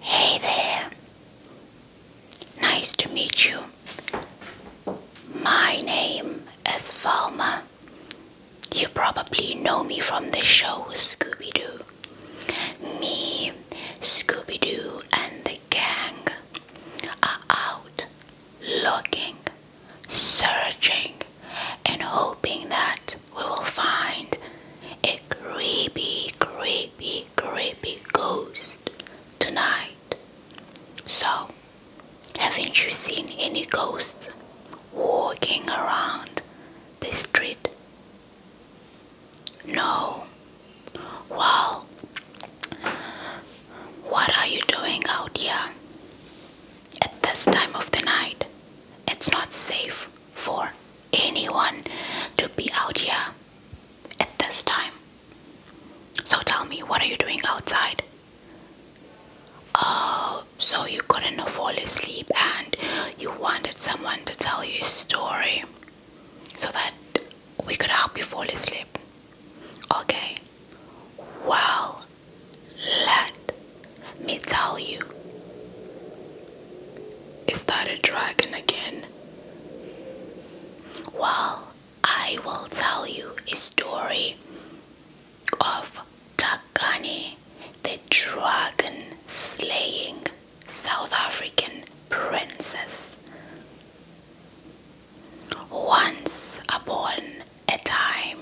Hey there. Nice to meet you. My name is Valma. You probably know me from the show Scooby Doo. Me, Scooby Doo, and the gang are out looking, searching, and hoping that we will find a creepy, creepy, creepy ghost tonight. So, haven't you seen any ghosts walking around the street? No. Well, what are you doing out here? At this time of the night, it's not safe for anyone to be out here at this time. So tell me, what are you doing outside? Oh, so you couldn't fall asleep and you wanted someone to tell you a story so that we could help you fall asleep. Okay. Well, let me tell you. Is that a dragon again? Well, I will tell you a story of Takani, the dragon slaying South African princess. Once upon a time,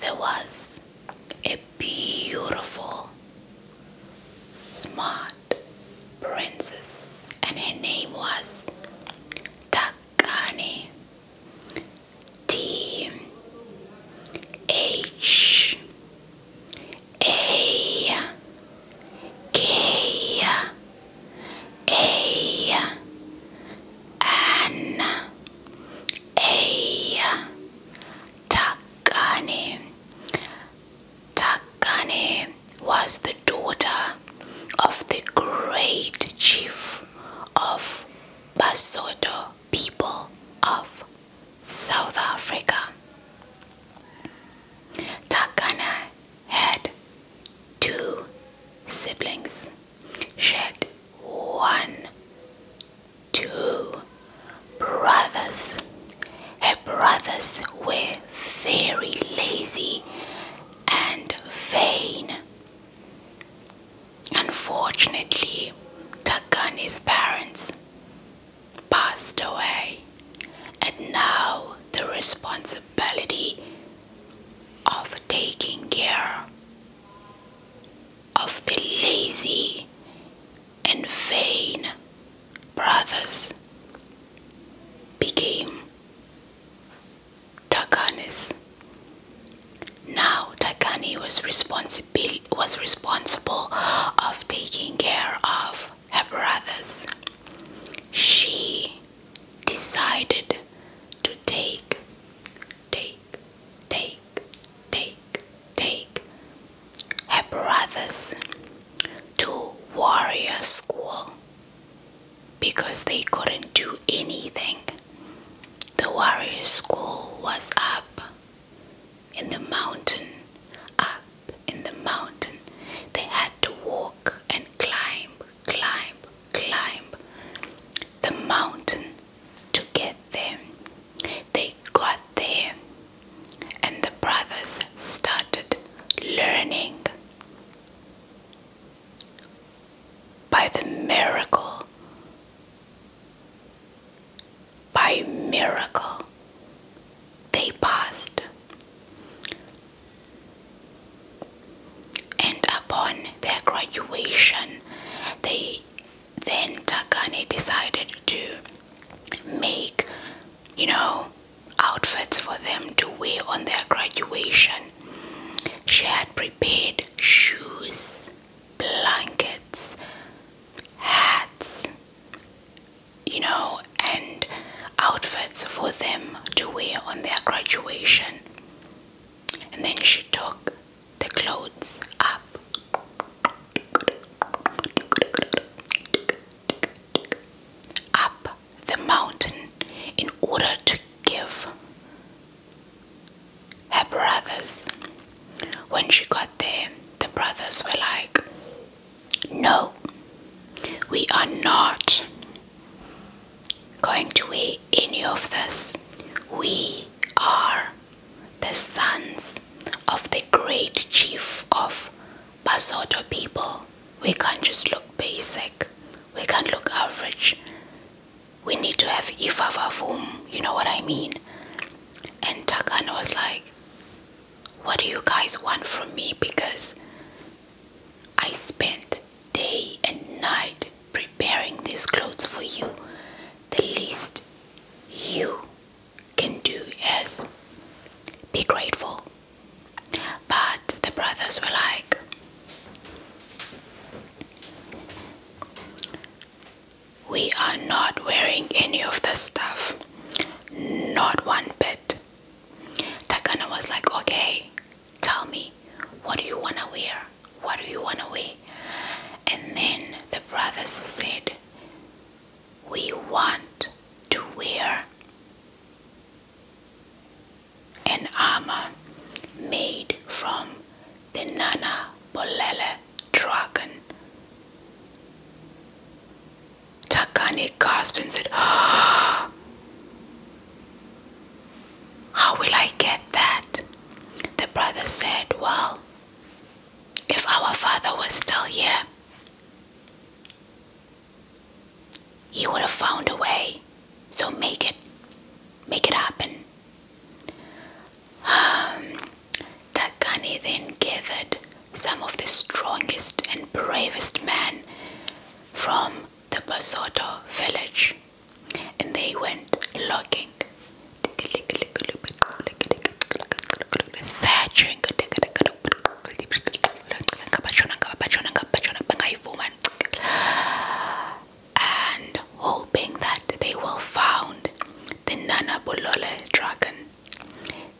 there was a beautiful, smart princess, and her name was Takani. T H A K a N A Takane. Takane was the daughter of the great chief of Basoto people of South Africa. Takana had two siblings. She had one, two brothers. Her brothers were very lazy and vain. Unfortunately, Takani's parents passed away, and now the responsibility of taking care of the lazy and vain brothers became Takani's. Now Takani was responsible was responsible of taking care of her brothers. She decided to take, take, take, take, take her brothers to warrior school because they couldn't do anything. The warrior school was up in the mountain, up in the mountain. They had to walk and climb climb, climb the mountain to get there. They got there, and the brothers started learning by the miracle. By miracle, they passed. And upon their graduation, they then Takane decided to make, you know, outfits for them to wear on their graduation. She had prepared shoes, blankets, hats, you know, and outfits for them to wear on their graduation. And then she took the clothes up. Up the mountain in order to give her brothers. When she got there, the brothers were like, No, we are not going to be any of this. We are the sons of the great chief of Basoto people. We can't just look basic. We can't look average. We need to have ifavavum, you know what I mean? And Takana was like, What do you guys want from me? Because I spent day and night preparing these clothes for you, the least you can do is be grateful. But the brothers were like, we are not wearing any of the stuff, not one bit. Takana was like, okay, Tell me, what do you want to wear? What do you want to wear? And then the brothers said, We want to wear an armor made from the Nana Bolele dragon. Takani gasped and said, oh, How will I get that? The brother said, Well, if our father was still here, he would have found a way. So make it make it happen. Um, then gathered some of the strongest and bravest men from the Basoto village and they went logging, searching. And hoping that they will find the Nanabulele dragon.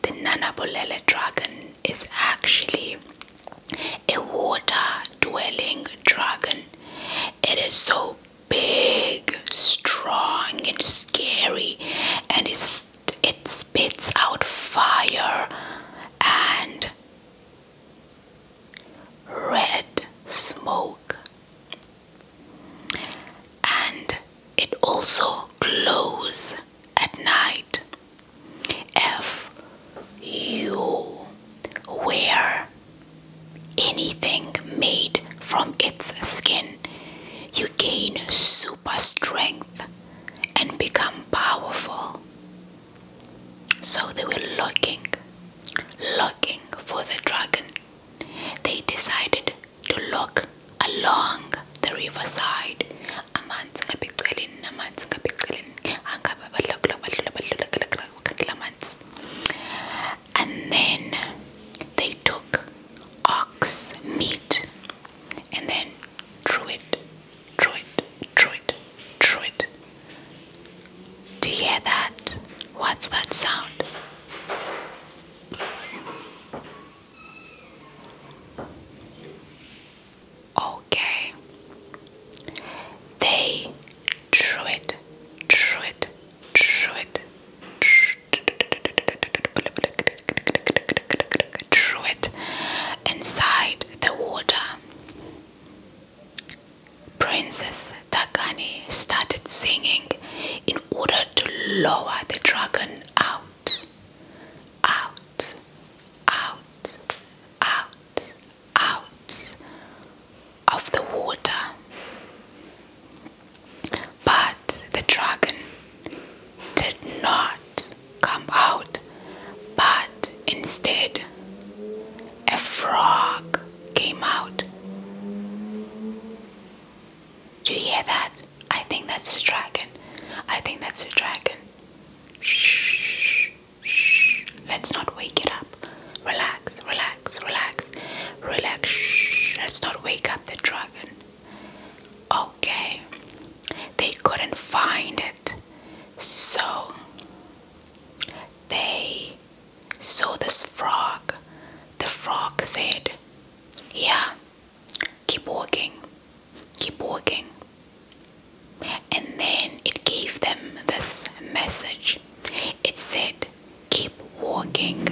The Nanabulele dragon is actually a water dwelling dragon. It is so big, strong, and scary, and it's, it spits out fire and red smoke. And it also glows at night. If you wear anything made from its skin, you gain super strength and become powerful. So they were looking, looking for the dragon. They decided to look along the riverside and then they took ox meat and then threw it threw it threw it threw it do you hear that what's that sound Okay. They drew it, drew it, drew it, drew it inside the water. Princess Takani started singing in order to lower the dragon out, out, out, out, out of the water. But the dragon did not come out, but instead a frog came out. Do you hear that? I think that's the dragon. I think that's the dragon. Shh. Shh. Let's not wake it up. Relax, relax, relax, relax. Shh. Let's not wake up the dragon. Okay. They couldn't find it. So they So this frog. The frog said, Yeah, keep walking, keep walking, and then it gave them this message it said, Keep walking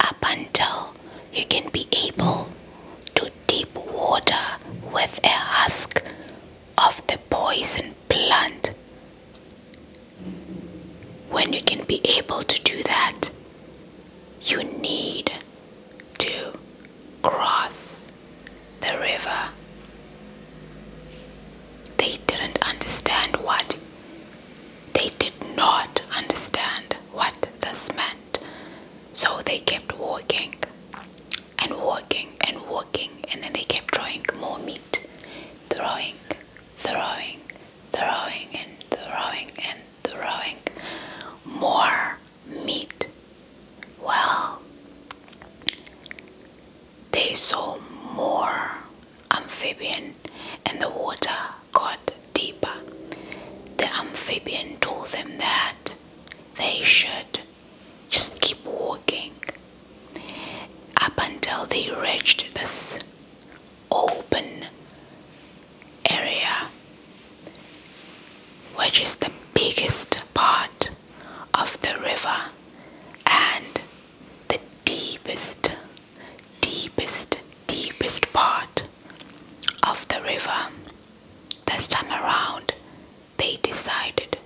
up until you can be able to deep water with a husk of the poison plant. When you can be able to do that, you need to cross the river. They didn't understand what, they did not understand what this meant. So they kept walking and walking and walking, and then they kept throwing more meat, throwing, throwing, throwing, and throwing, and throwing more meat. Well, they saw more amphibian and the water got deeper. The amphibian told them that they should just keep walking up until they reached this open area which is the biggest part of the river and the deepest, deepest, deepest part of the river. This time around, they decided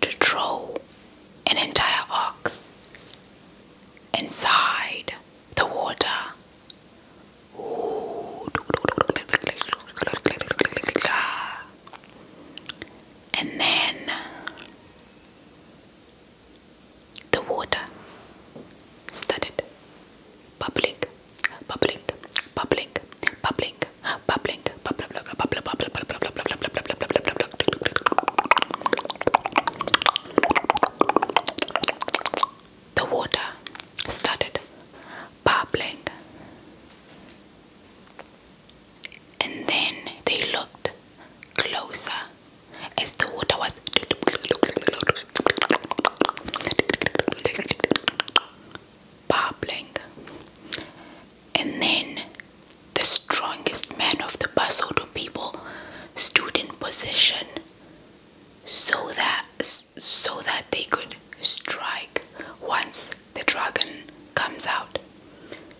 to throw an entire ox inside the water and then the water started bubbling, bubbling, bubbling, bubbling, bubbling, bubbling, bubbling, bubbling, the water started bubbling and then they looked closer as the water was bubbling. And then the strongest man of the Basoto people stood in position so that so that they could strike once the dragon comes out.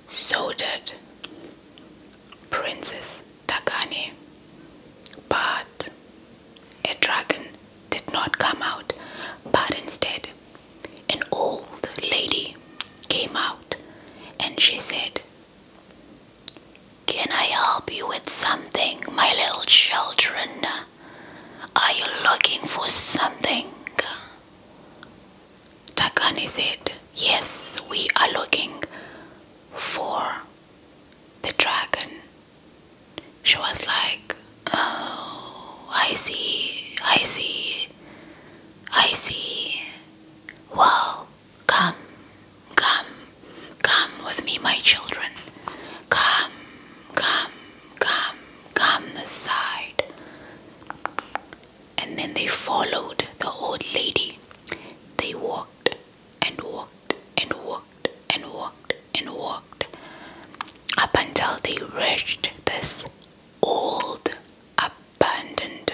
So did Princess Takane. But a dragon did not come out, but instead, an old lady came out and she said, Can I help you with something, my little children? Are you looking for something? Takane said, Yes, we are looking for the dragon. She was like, Oh, I see, I see, I see. Well, come, come, come with me, my children. Come, come, come, come this And then they followed the old lady. They walked and walked and walked and walked and walked up until they reached this old, abandoned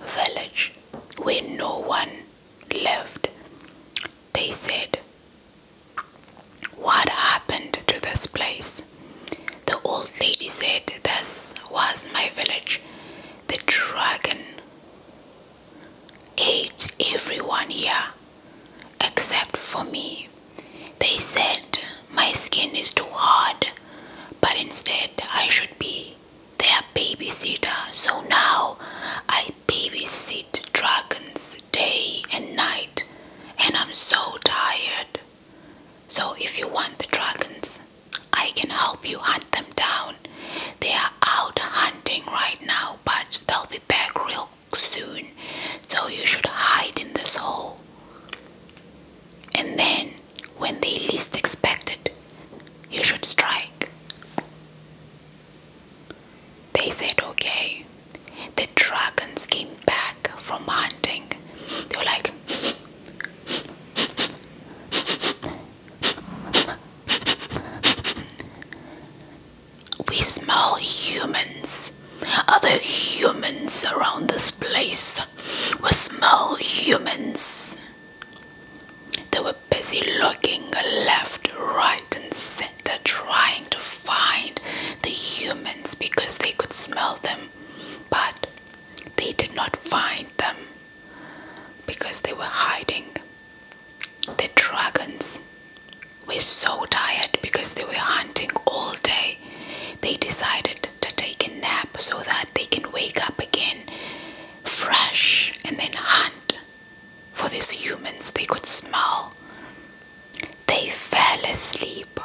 village where no one lived. They said, what happened to this place? The old lady said, This was my village. The dragon ate everyone here except for me. They said my skin is too hard, but instead I should be their babysitter. So now I babysit dragons day and night, and I'm so tired. So, if you want the dragons, I can help you hunt them down. They are out hunting right now, but they'll be back real soon, so you should hide in this hole. And then, when they least expect it, you should strike. They said, okay. The dragons came back from hunting. They were like, we smell humans. Are there humans around this place? We smell humans. They were busy looking left, right garden center trying to find the humans because they could smell them, but they did not find them because they were hiding. The dragons were so tired because they were hunting all day. They decided to take a nap so that they can wake up again fresh and then hunt for these humans they could smell they fell asleep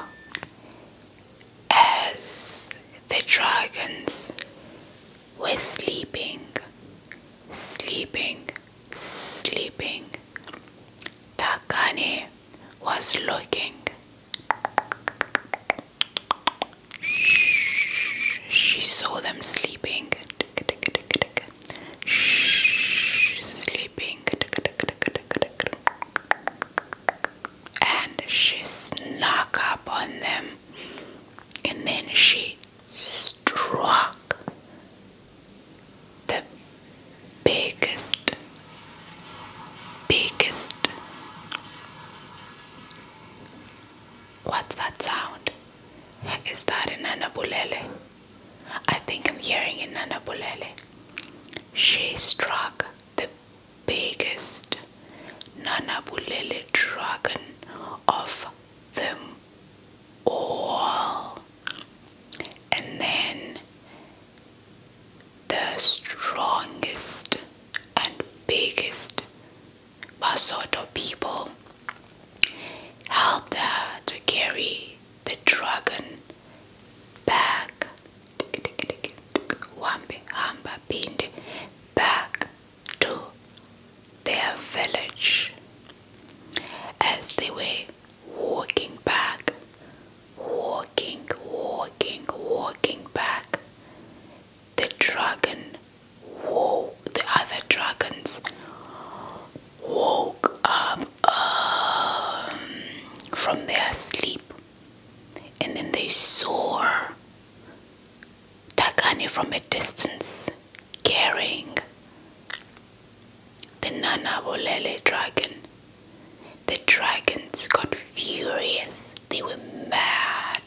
as the dragons were sleeping, sleeping, sleeping. Takane was looking. She saw them sleeping. She's sleeping. And she snuck up on them. And then she struck the biggest, biggest. What's that sound? Is that an anabulele? I think I'm hearing in Nana Nanabulele. She struck the biggest Nana Nanabulele dragon of them all. And then the strongest and biggest Basoto people helped her to carry the dragon back Wambi Hamba Pindi back to their village. As they were walking back, walking, walking, walking back, the dragon, the other dragons woke up um, from their sleep and then they saw Takani from a distance carrying the Nana Bolele dragon. The dragons got furious, they were mad,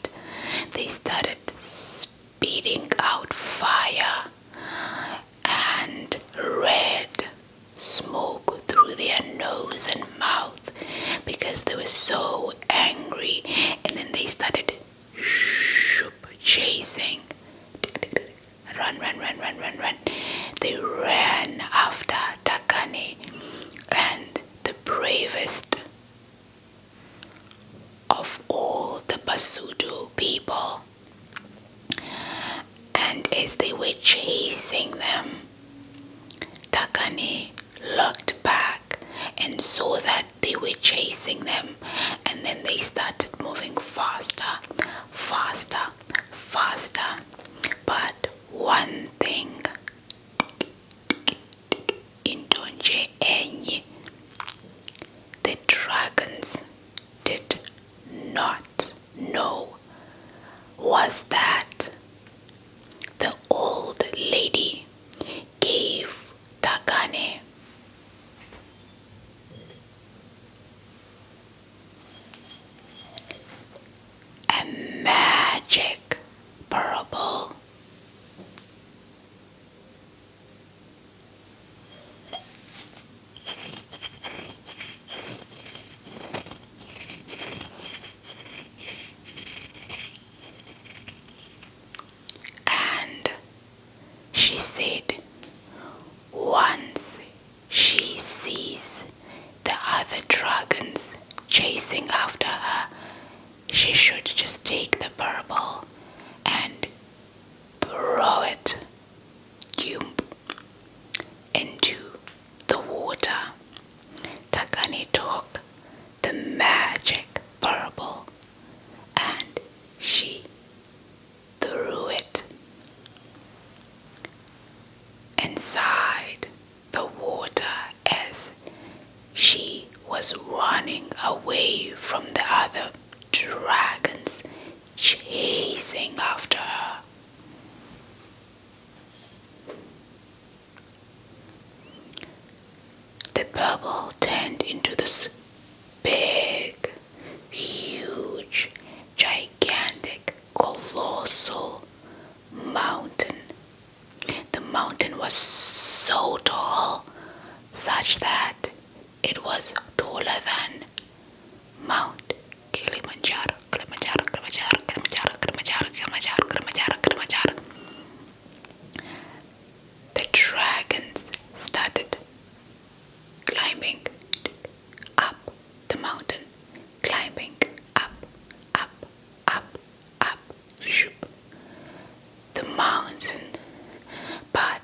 they started speeding out fire and red smoke through their nose and mouth because they were so angry and then they started chasing run run run run run run they ran after Takani and the bravest of all the Basudu people and as they were chasing them, Takane looked back and saw that they were chasing them, and then they started moving faster, faster, faster. But one thing in Enyi, the dragons did not know was that the old lady gave Takane a magic parable. And she said, Once she sees the other dragons chasing after her, she should just take the purple and throw it into the water. Takani took the magic pearl, and she threw it. Inside the water as she was running away from the other dragons chasing after her. The bubble turned into this big, huge, gigantic, colossal mountain. The mountain was so tall, such that it was taller than Mount Kilimanjaro, Kilimanjaro, Kilimanjaro, Kilimanjaro, Kilimanjaro, Kilimanjaro, Kilimanjaro, The dragons started climbing up the mountain, climbing up, up, up, up, the mountain, but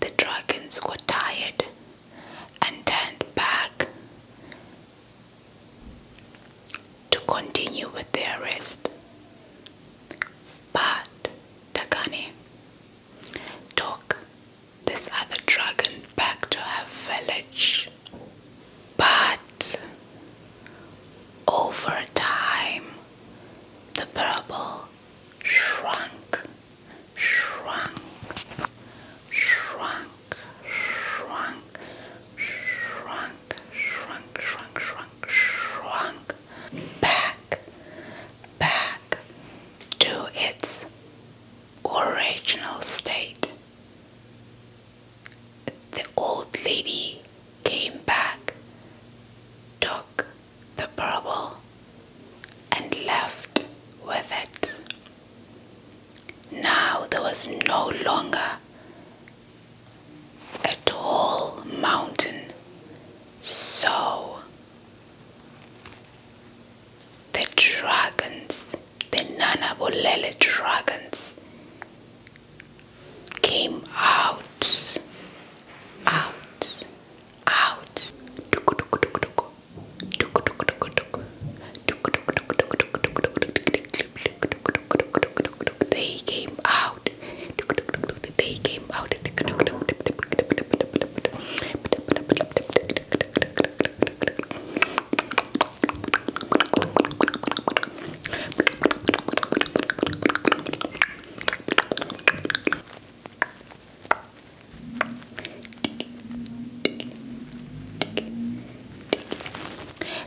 the dragons got tired and turned back to continue with their rest. But Takane took this other dragon back to her village. But over time, the purple shrunk shrunk, shrunk, shrunk, shrunk, shrunk, shrunk, shrunk, shrunk back, back to its original state. The old lady came back, took the purple and left with it. Now there was no longer a tall mountain, so the dragons, the Nana Nanabulele dragons, came out, out, out, they came out. They came out.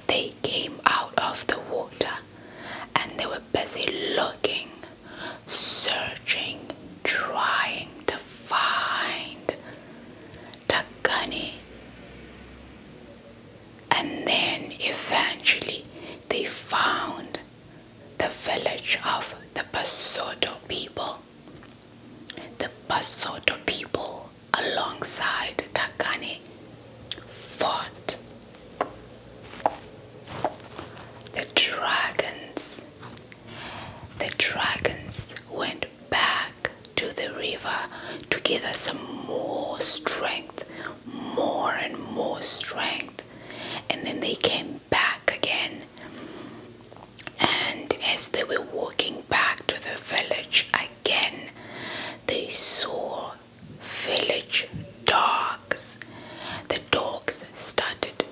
They came out of the water and they were busy looking, searching, trying to find Takani. And then eventually they found the village of the Basoto people. The Basotho people, alongside Takani, fought the dragons. The dragons went back to the river to gather some more strength, more and more strength, and then they came back again and as they were walking back to the village again, they saw village dogs. The dogs started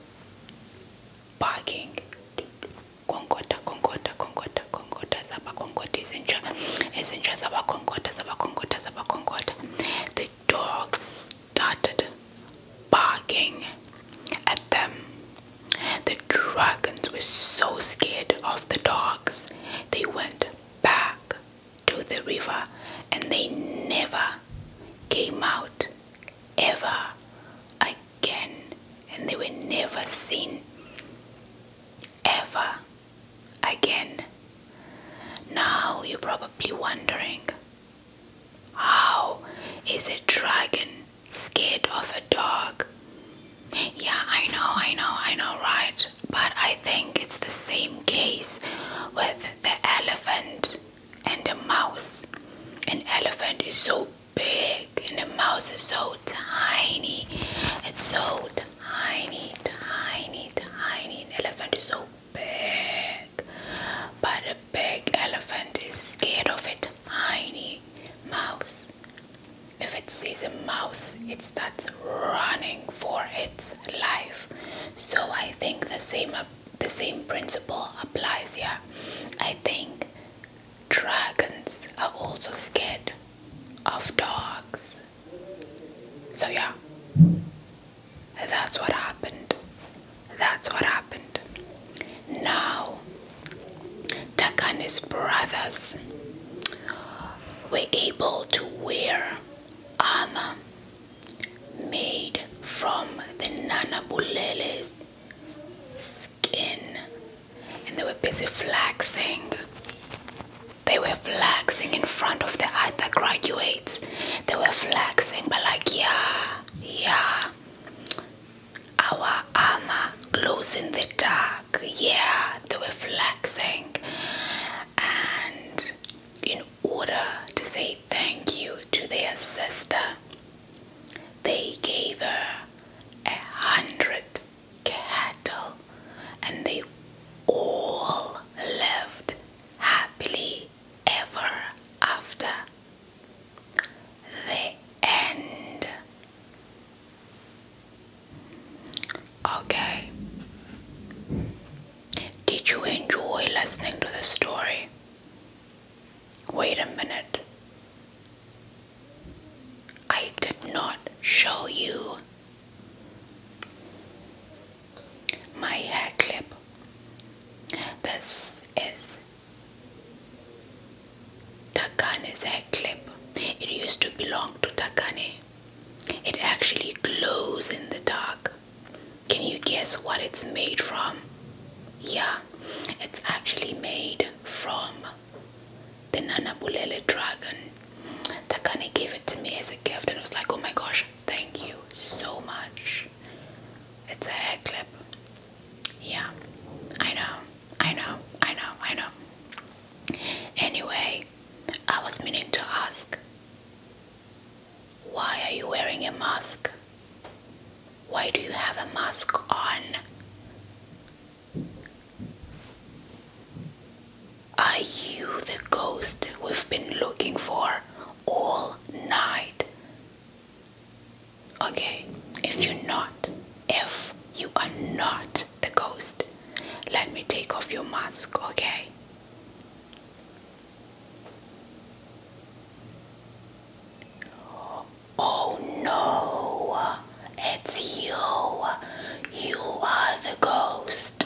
barking. The dogs started barking at them. The dragons were so scared of the dogs, they went back to the river and they never came out ever again. And they were never seen ever again. Now you're probably wondering how is a dragon scared of a dog? Yeah, I know, I know, I know, right? But I think it's the same case with the elephant and the mouse. An elephant is so big and the mouse is so tiny. It's so tiny, tiny, tiny. An elephant is so big. But a big elephant is scared of it tiny mouse. If it sees a mouse, it starts running for its life. So I think the same the same principle applies here. I think dragons are also scared of dogs. So yeah, that's what happened. That's what happened. Now, Takani's brothers were able to wear armor made from the Nana Nanabuleles skin, and they were busy flexing. They were flexing in front of the other graduates. They were flexing, but like, yeah, yeah, our armor glows in the dark. Yeah, they were flexing. And in order to say thank you to their sister, they gave her a hundred cattle and they all lived happily ever after the end. Okay. Did you enjoy listening to the story? Wait a minute. I did not show you my hair clip. This is Takane's hair clip. It used to belong to Takane. It actually glows in the dark. Can you guess what it's made from? Yeah, it's actually made from the Nanabulele dragon. Takane gave it to me as a gift and I was like, oh my gosh, thank you so much. It's a hair clip. Yeah, I know, I know, I know, I know. Anyway, I was meaning to ask why are you wearing a mask? Why do you have a mask on? Are you the ghost we've been looking for all night? Okay, if you're not, if you are not the ghost, let me take off your mask, okay? Oh no, it's you. You are the ghost.